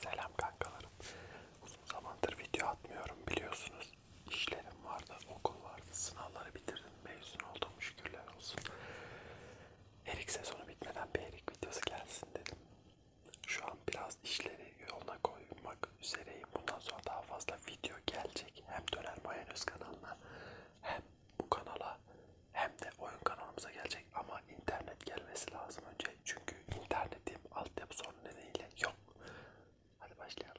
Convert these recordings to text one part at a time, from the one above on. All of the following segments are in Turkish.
Selam kankalarım. Uzun zamandır video atmıyorum biliyorsunuz. İşlerim vardı, okul vardı, sınavları bitirdim, mezun oldum şükürler olsun. Erik sezonu bitmeden bir Erik videosu gelsin dedim. Şu an biraz işleri yoluna koymak üzereyim. Bundan sonra daha fazla video gelecek. Hem Döner Mayonez kanalına hem bu kanala hem de oyun kanalımıza gelecek ama internet gelmesi lazım önce çünkü internetim altyapı sorunu nedeniyle yok. Hadi başlayalım.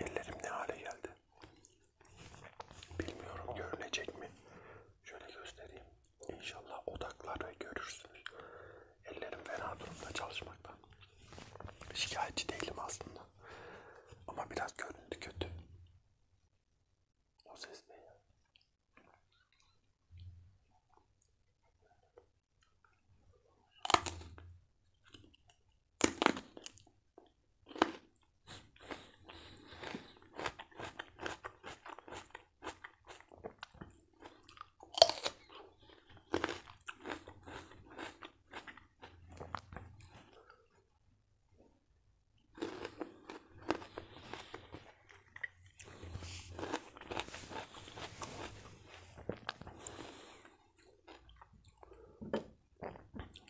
Ellerim ne hale geldi? Bilmiyorum görünecek mi? Şöyle göstereyim. İnşallah odakları görürsünüz. Ellerim fena durumda çalışmaktan. Şikayetçi değilim aslında. Ama biraz göründü kötü. O ses ne ya?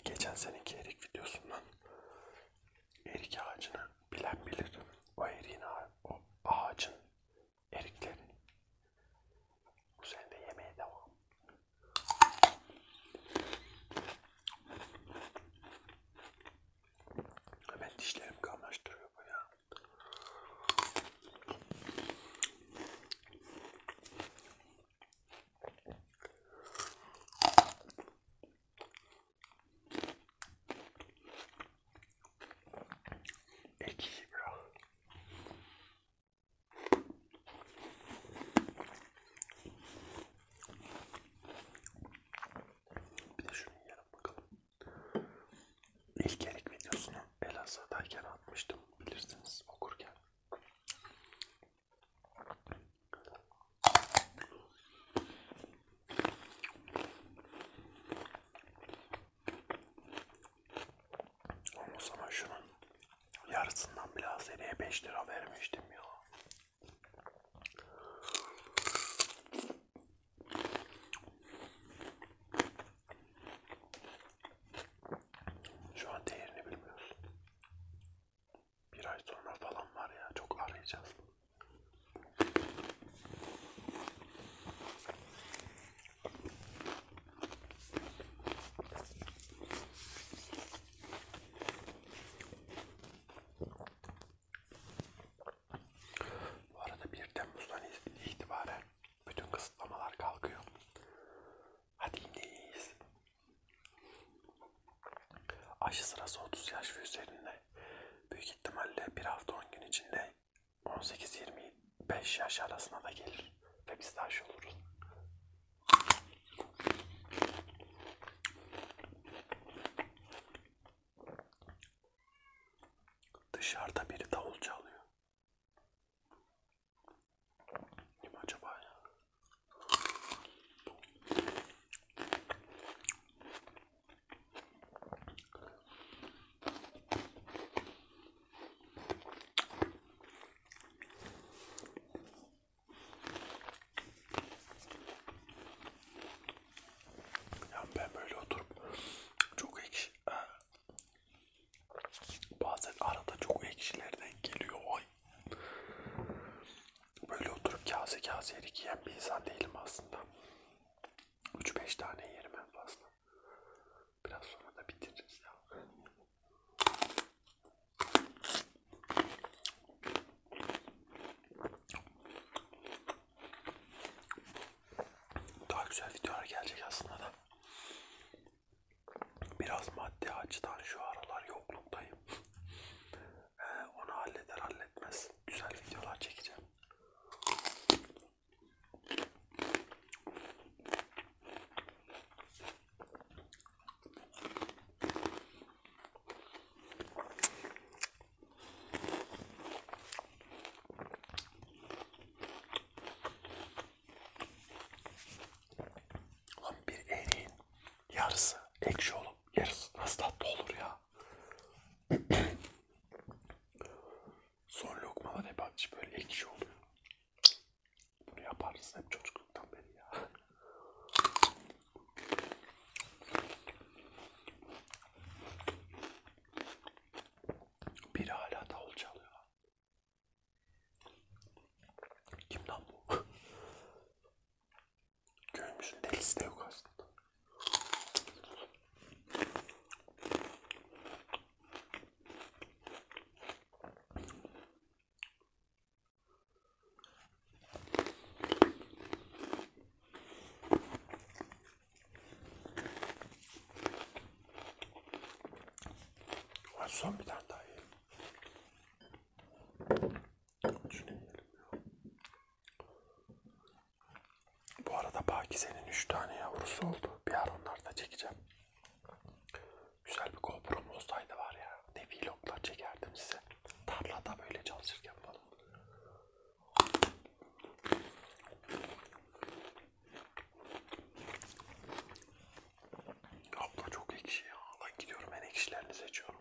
Geçen seneki erik videosundan erik ağacını bilen bilir. O eriğin, o ağacın erikleri. Bu sene de yemeğe devam. Hemen dişlerim kamaştırıyor bu ya. Ekşi biraz. Bir de şunu yiyelim bakalım. İlk erik videosunu Elazığ'dayken atmıştım bilirsiniz okurken. O zaman şunun yarısından biraz eriye 5 lira vermiştim ya. Şu an değerini bilmiyorsun. Bir ay sonra falan var ya çok arayacağız bunu. Bu arada 1 Temmuz'dan itibaren bütün kısıtlamalar kalkıyor. Hadi iyiyiz. Aşı sırası 30 yaş ve üzerinde büyük ihtimalle bir hafta 10 gün içinde 18-25 yaş arasına da gelir ve biz de aşı oluruz. Dışarıda biri davul çalıyor. Kim acaba ya? Yani ben böyle oturup çok ekşi bazen arada çok ekşilerden geliyor ay böyle oturup kase kase yerik yiyen bir insan değilim aslında. 3-5 tane yerim en fazla. Biraz sonra da bitiririz ya. Daha güzel videolar gelecek aslında da. Biraz maddi açıdan şu aralar yokluktayım. Onu halleder halletmez güzel videolar çekeceğim. Lan bir eriğin yarısı ekşi olup yarısı nasıl tatlı olur ya? Son lokmalar hep aç şey, böyle ekşi şey oluyor. Bunu yaparız hep çocukluktan beri ya. Biri hala davul çalıyor. Kim lan bu? Köyümüzün delisi de yok aslında. Ay son bir tane daha yiyeyim. Düşünemeyelim ya. Bu arada Pakize'nin 3 tane yavrusu oldu. Bir ara onları da çekeceğim. Güzel bir GoPro'm olsaydı var ya. Ne vloglar çekerdim size. Tarlada böyle çalışırken falan. Abla çok ekşi ya. Lan gidiyorum en ekşilerini seçiyorum.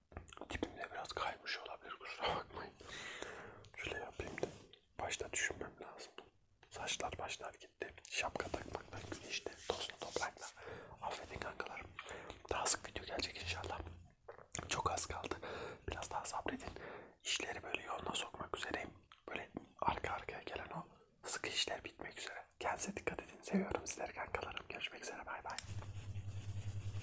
Tipimde biraz kaymış olabilir kusura bakmayın. Şöyle yapayım da başta düşünmem lazım. Saçlar başlar gitti. Şapka takmakla, güneşte, tozlu toprakla. Affedin kankalarım. Daha sık video gelecek inşallah. Çok az kaldı. Biraz daha sabredin. İşleri böyle yoluna sokmak üzereyim. Böyle arka arkaya gelen o sıkı işler bitmek üzere. Kendinize dikkat edin. Seviyorum sizleri kankalarım. Görüşmek üzere. Bay bay.